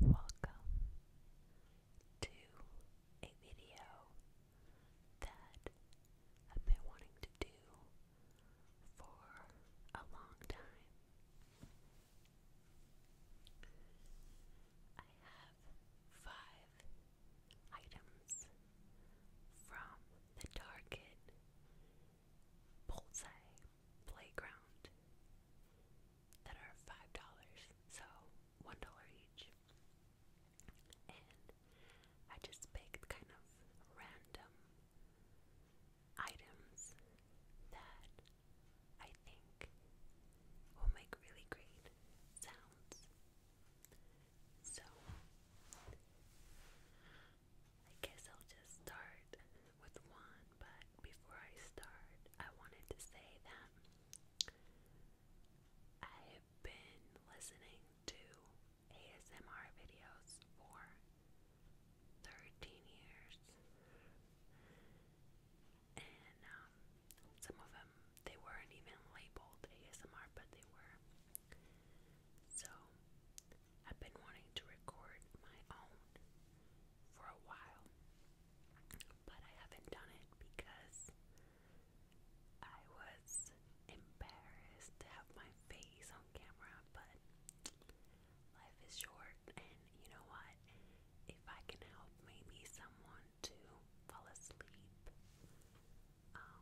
Welcome to a video that I've been wanting to do for a long time. I have five items from the Target Bullseye playground that are five dollars, so one dollar each. And I just picked kind of random items that I think will make really great sounds. So I guess I'll just start with one, but before I start, I wanted to say that I have been listening to ASMR videos for 13 years. And um, some of them, they weren't even labeled ASMR, but they were. So, I've been wanting to record my own for a while, but I haven't done it because I was embarrassed to have my face on camera. But life is short, and you know what? If I can help maybe someone to fall asleep um,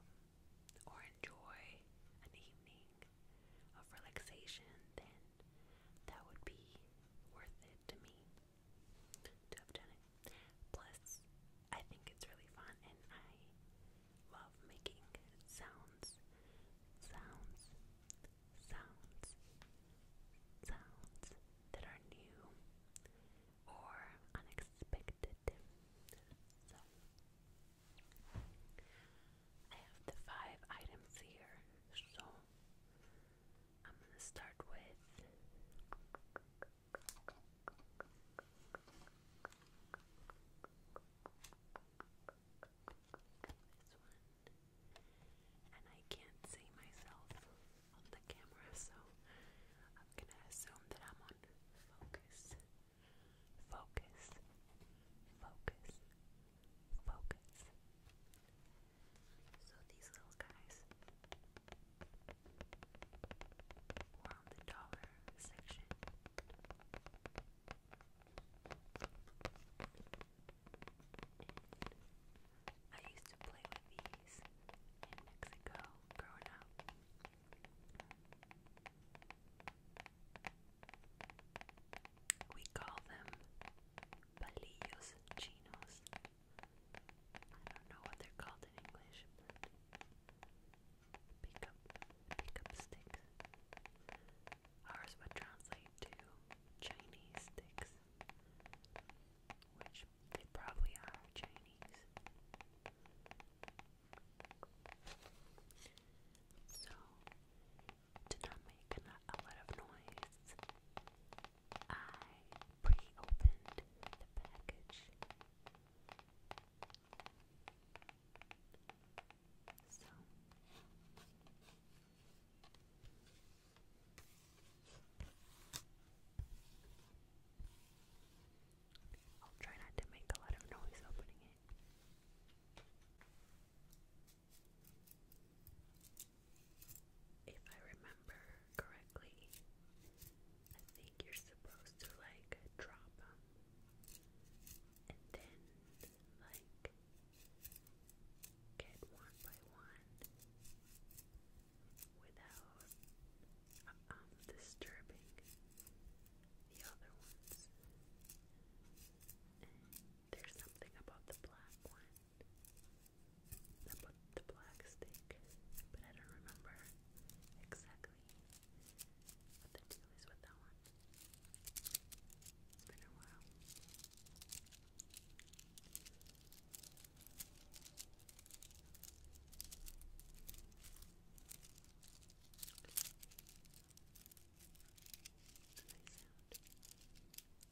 or enjoy an evening of relaxation, then that would be worth it to me to have done it. Plus, I think it's really fun and I love making sounds, sounds, sounds, sounds that are new or unexpected. So, I have the five items here, so I'm gonna start with this one. And I can't see myself on the camera, so I'm gonna assume that I'm on focus. Focus. Focus focus. So these little guys were on the dollar section. And I used to play with these in Mexico growing up. We call them palillos chinos. I don't know what they're called in English, pick up, pick up sticks. Ours would translate to Chinese sticks, which they probably are Chinese. So, to not make a lot of noise, I pre opened the package. So. I'll try not to make a lot of noise opening it. If I remember correctly, I think you're supposed to like drop them and then like get one by one without um, disturbing the other ones. There's something about the black one. About the black stick. But I don't remember exactly what the deal is with that one. It's been a while. Nice sound.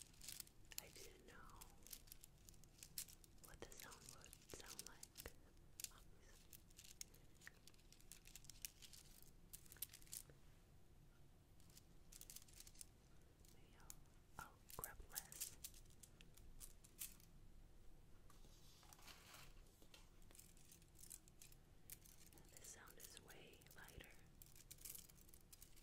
I didn't know what the sound would sound like, obviously. Maybe i sound is way lighter.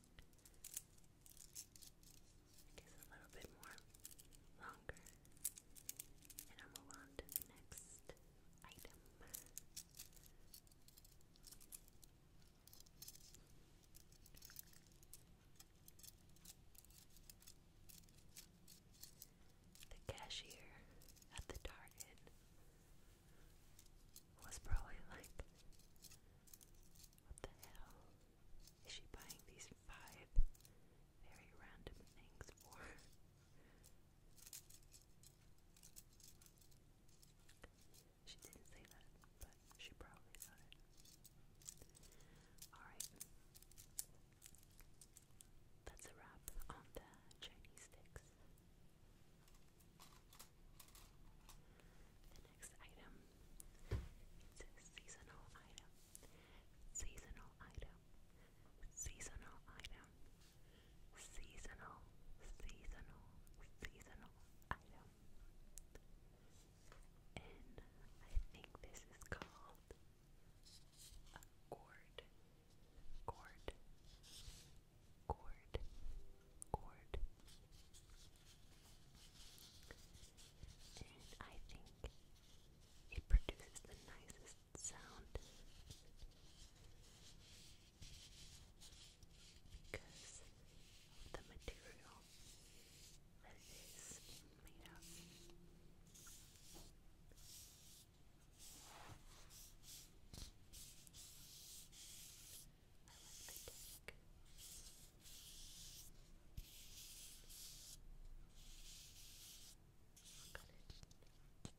I a little bit more longer. And I'll move on to the next item. The cashier at the Target was probably like, What the hell? Is she buying these five very random things for? she didn't say that, but she probably thought it. Alright. That's a wrap on the Chinese sticks next item. It's a seasonal item. Seasonal item. Seasonal item. Seasonal, seasonal, seasonal item. And I think this is called a gourd. Gourd. Gourd. Gourd. And I think it produces the nicest sound because of the material that it is made of. I like the cake. Look at it. Scissors. Spoken. Spoken.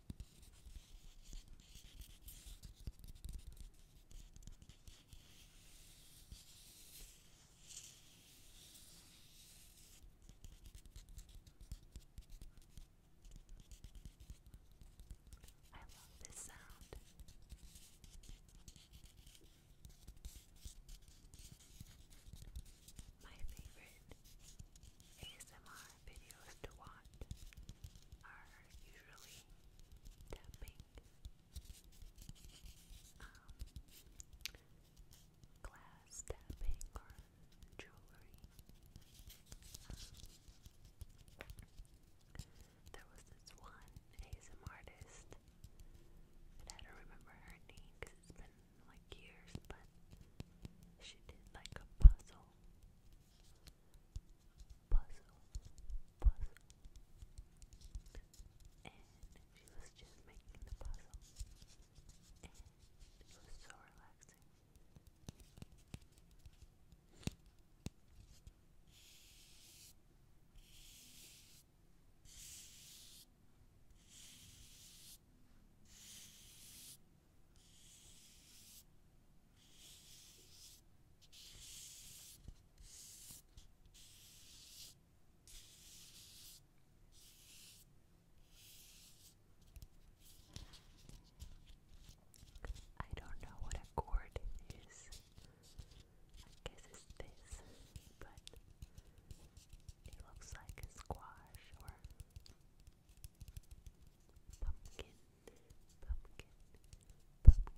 I love this sound. My favorite ASMR videos to watch are usually tapping, um, glass tapping or jewelry. Um, there was this one ASM artist, I don't remember her name because it's been like years, but she did like a puzzle puzzle, puzzle. And she was just making the puzzle. And it was so relaxing. I don't know what a chord is. I guess it's this, but it looks like a squash or pumpkin pumpkin, pumpkin.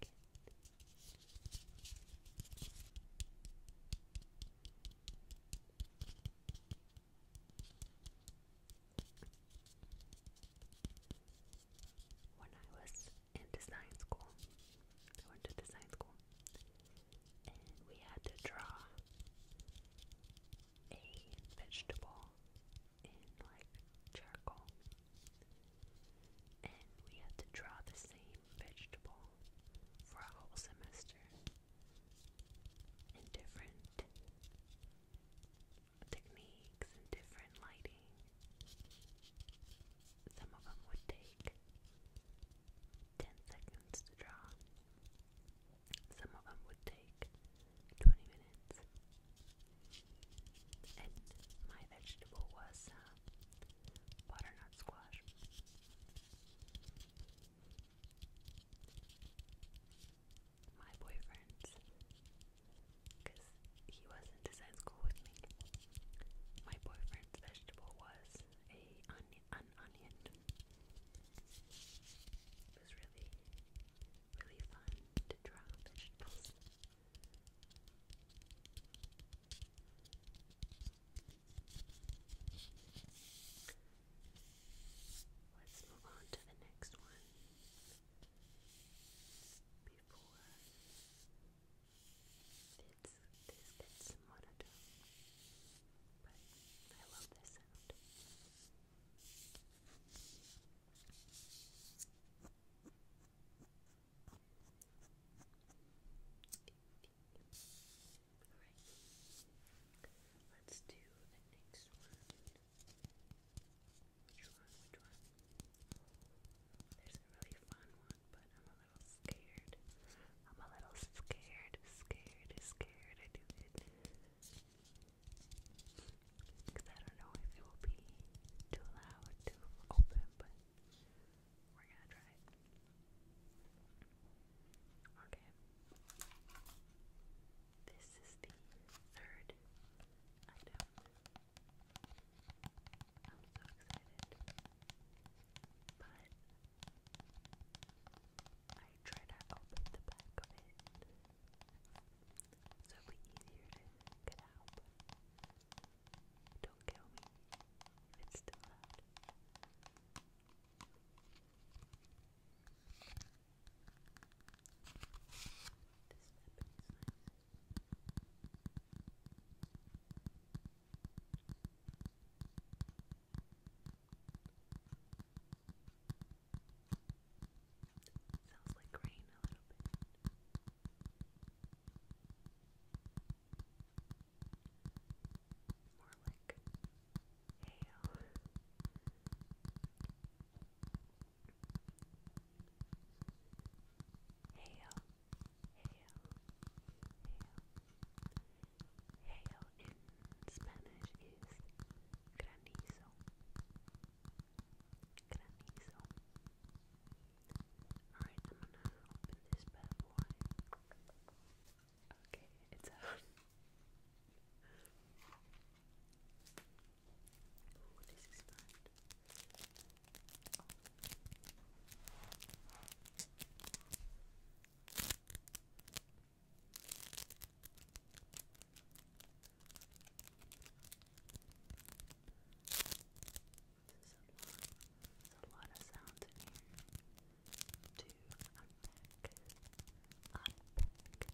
When I was in design school, I went to design school, and we had to draw a vegetable in like charcoal. And we had to draw the same vegetable for a whole semester in different techniques and different lighting. Some of them would take 10 seconds to draw, some of them would take 20 minutes. And my vegetable was uh, butternut squash. My boyfriend's, because he wasn't design school with me. My boyfriend's vegetable was a onion. It was really, really fun to draw vegetables. Let's move on to the next one before it's, this gets But I love this sound. Alright. Let's do the next one. Which one? Which one? There's a really fun one, but I'm a little scared. I'm a little scared, scared, scared to do it. Because I don't know if it will be too loud to open, but we're gonna try it. Okay. This is the third I'm so excited. But I try to open the back of it. So it easier to get out. Don't kill me it's too loud. This weapon Sounds like rain a little bit. More like hail. Hail, hail, hail. Hail in Spanish is granizo granizo. Alright, I'm gonna open this bad boy. Okay, it's out. Ooh, this is fun. Oh. There's a lot, there's a lot of sounds in here to unpack, unpack, unpack.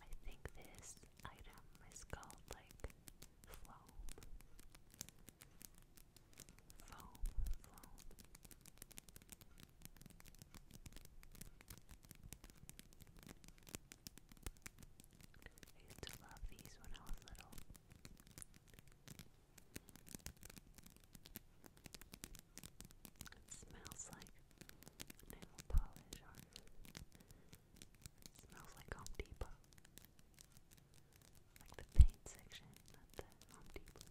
I think this item is called like foam. Foam, foam. I used to love these when I was little. It smells like nail polish smells like Home Depot. Like the paint section at the Home Depot.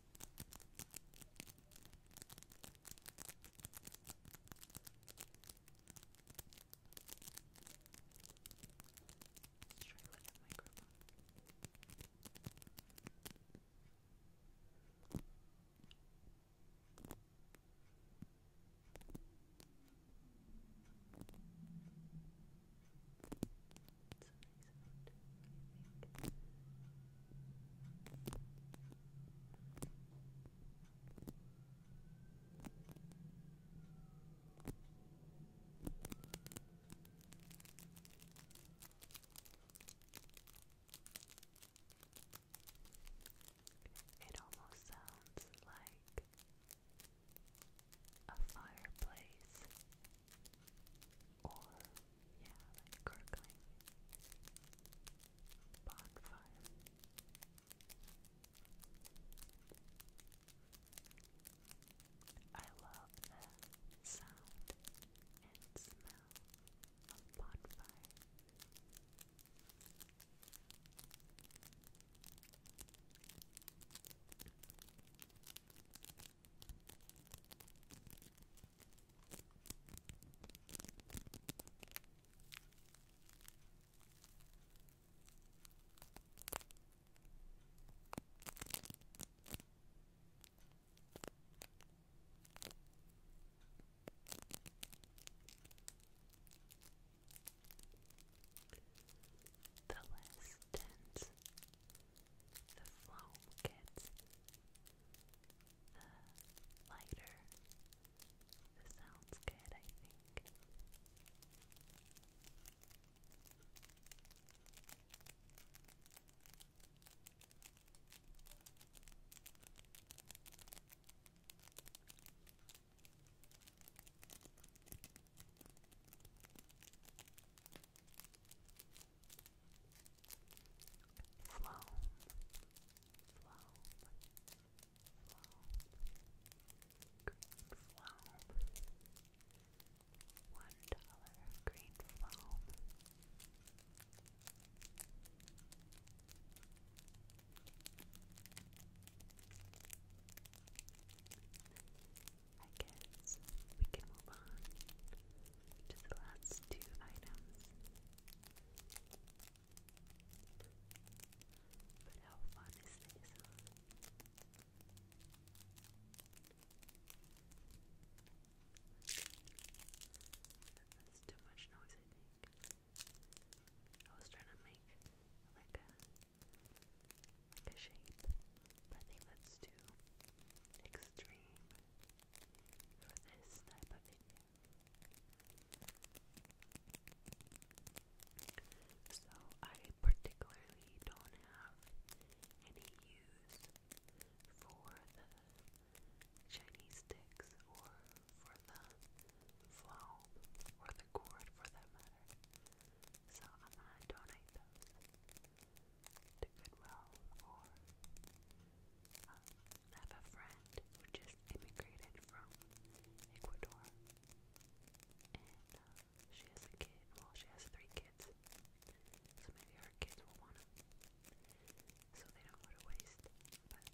Let's try look at microphone. It's it almost sounds like a fireplace or yeah, like gurgling bonfire. I love the sound and smell of bonfire. The less dense the foam gets, the uh, lighter the sounds good, I think. Flown, flown, flown, green flown, one dollar green flown. I guess we can move on to the last two items. But how fun is this? That's too much noise, I think. I was trying to make like a like a shape, but I think that's too extreme for this type of video. So I particularly don't have any use for the Chinese sticks or for the flow or the cord for that matter. So I'm gonna donate those to Goodwill or uh, um, I friend who just immigrated from Ecuador and uh, she has a kid, well she has three kids so maybe her kids will want them so they don't go to waste, but yeah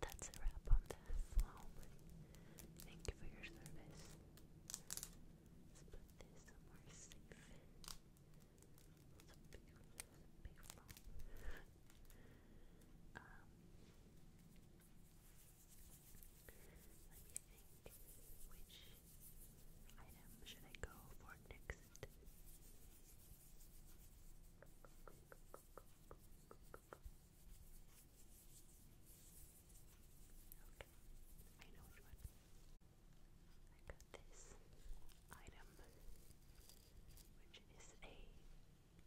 that's a wrap on the flower. Thank you for your service. Let's put this somewhere safe. It's a let me think. Which item should I go for next? I know which one. I got this item, which is a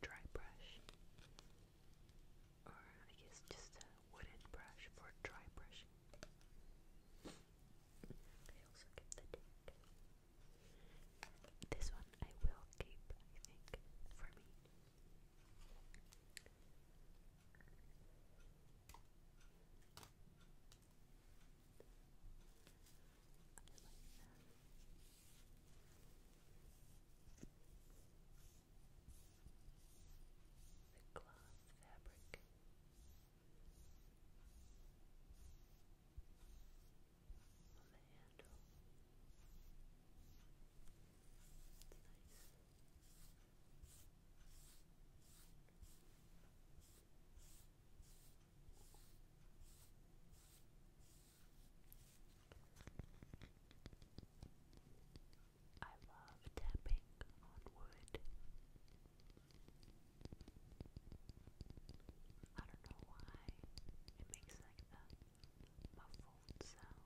dry brush or I guess just a wooden brush for dry brushing. I also get the date. This one I will keep, I think, for me the cloth fabric. On the handle, it's nice. I love tapping on wood. I don't know why it makes like that muffled sound.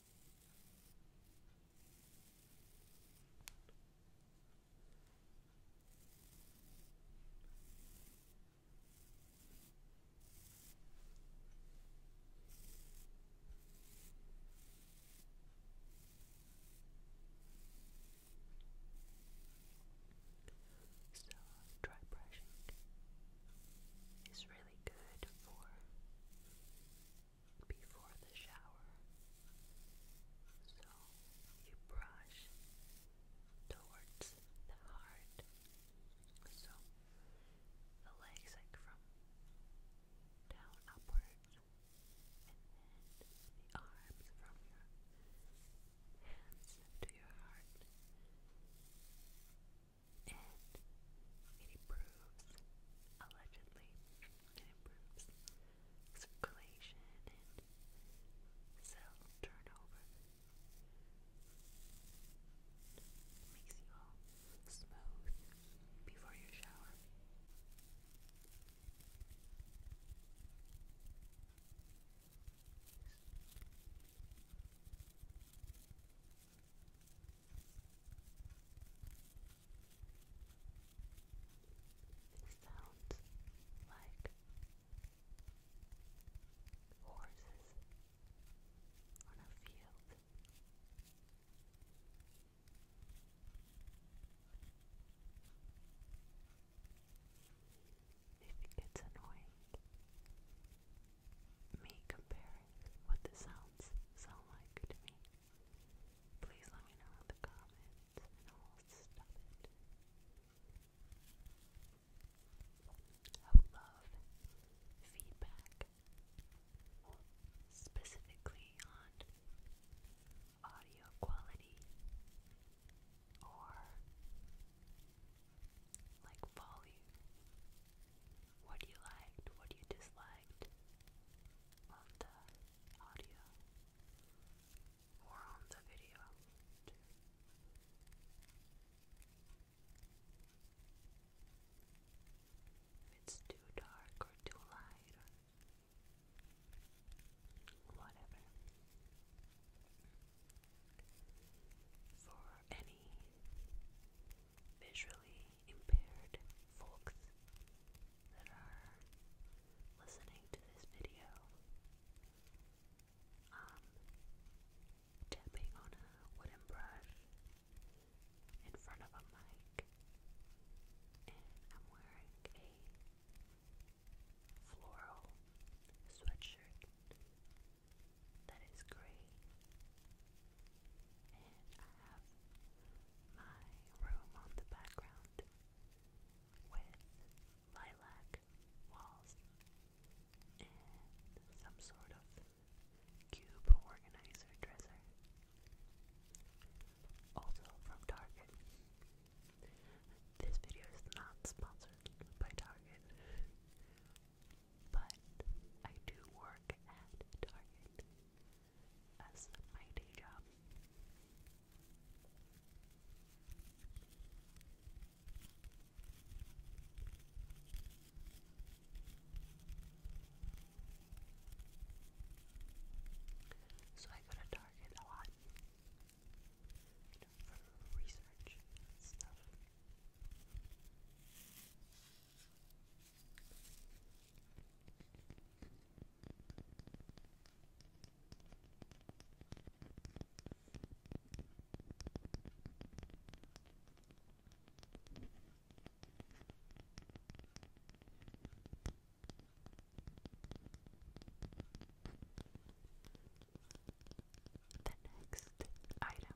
So, dry brushing is really good for before the shower. So you brush towards the heart. So the legs like from down upwards and then the arms from your hands to your heart and it improves, allegedly, it improves circulation and cell turnover. makes you all smooth before your shower. It sounds like horses on a field. If it gets annoying, me comparing what the sounds sound like to me. Please let me know in the comments I'll love feedback, specifically on audio quality or like volume. What do you liked? What do you disliked? side of the audio or on the video If it's too dark or too light or whatever. For any visually impaired folks that are listening to this video. Um, tapping on a wooden brush in front of a mic, and I'm wearing a floral sweatshirt that is gray and I have my room on the background with lilac walls and some sort of cube organizer dresser. Also from Target. This video is not sponsored by Target. But I do work at Target as my day job. So I go to Target a lot you for research stuff. The next item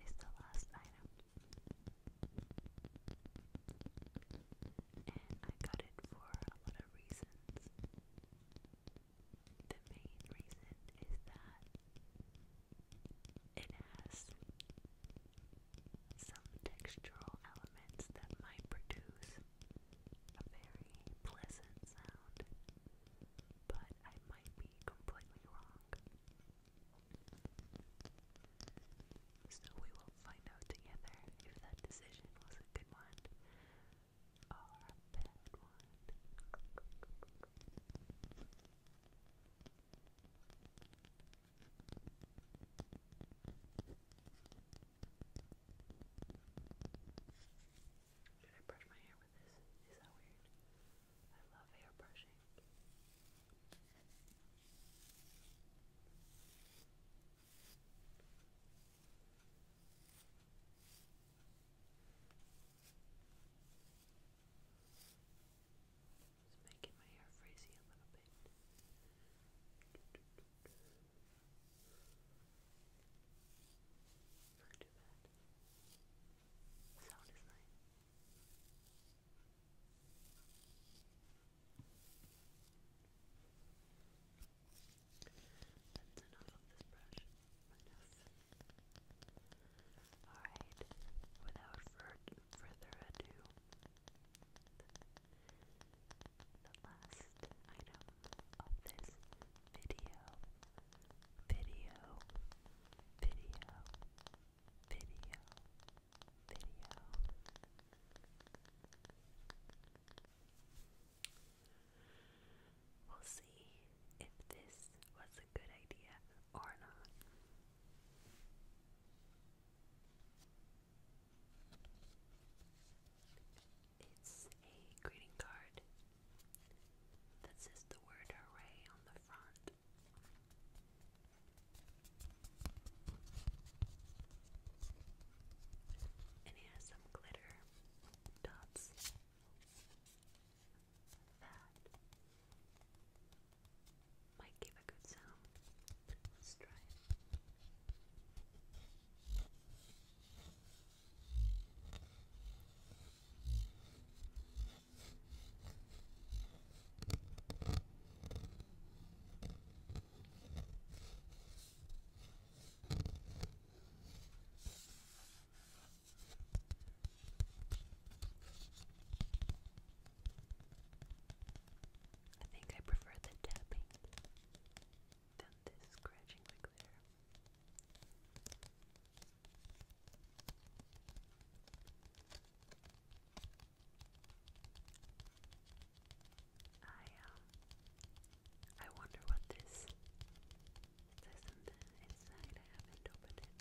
is the last item and I got it for a lot of reasons. The main reason is that it has some textural elements that might produce a very pleasant sound, but I might be completely wrong. So we will find out together if that decision was a good one or a bad one. Should I brush my hair with this? Is that weird? I love hair brushing. Just making my hair frizzy a little bit. Not too bad. sound is nice. That's enough of this brush. Alright, without fur further ado, the last item of this video, video, video, video, video. We'll see if this was a good idea or not. It's a greeting card that says the word hooray on the front. And it some glitter dots. That might give a good sound. Let's try it. I think I prefer the tapping than this scratching the glitter. I um I wonder what this there's something inside haven't opened it.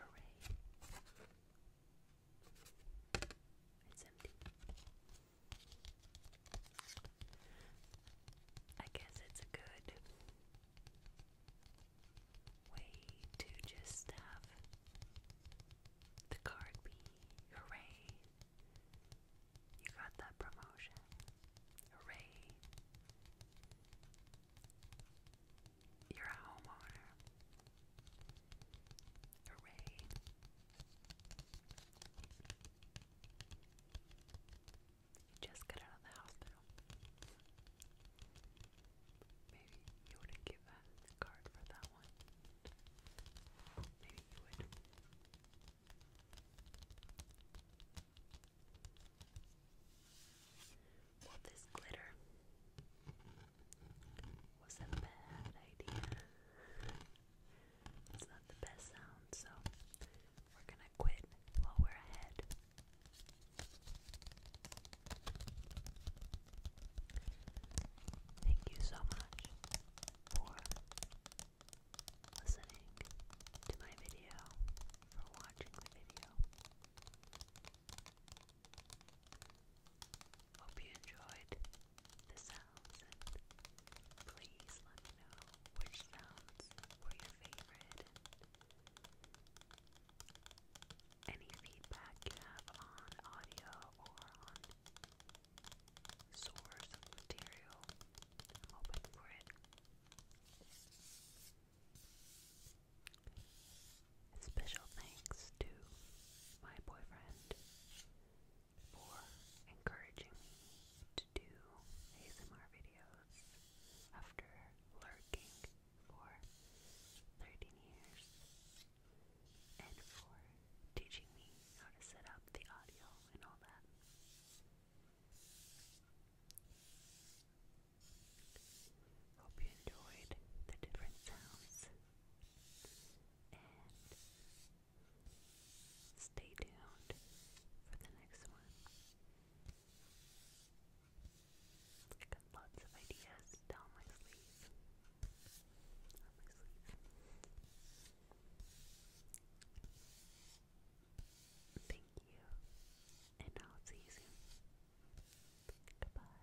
Hooray. It's empty. I guess it's good way to just have the card be hooray, you got that promotion, hooray, you're a homeowner, hooray. You just got out of the hospital. Maybe you wouldn't give a card for that one. Maybe you would. Well, this glitter was a bad idea. It's not the best sound, so we're gonna quit while we're ahead. Thank you so much for listening to my video, for watching the video. Hope you enjoyed the sounds please let me know which sounds were your favorite any feedback you have on audio or on source material. I'm open for it. special thanks to my boyfriend for encouraging me to do ASMR videos after lurking for 13 years and for teaching me how to set up the audio and all that. Hope you enjoyed the different sounds and stay tuned for the next one. I got lots of ideas down my sleeve. Down my sleeve. Thank you, and I'll see you soon. Goodbye.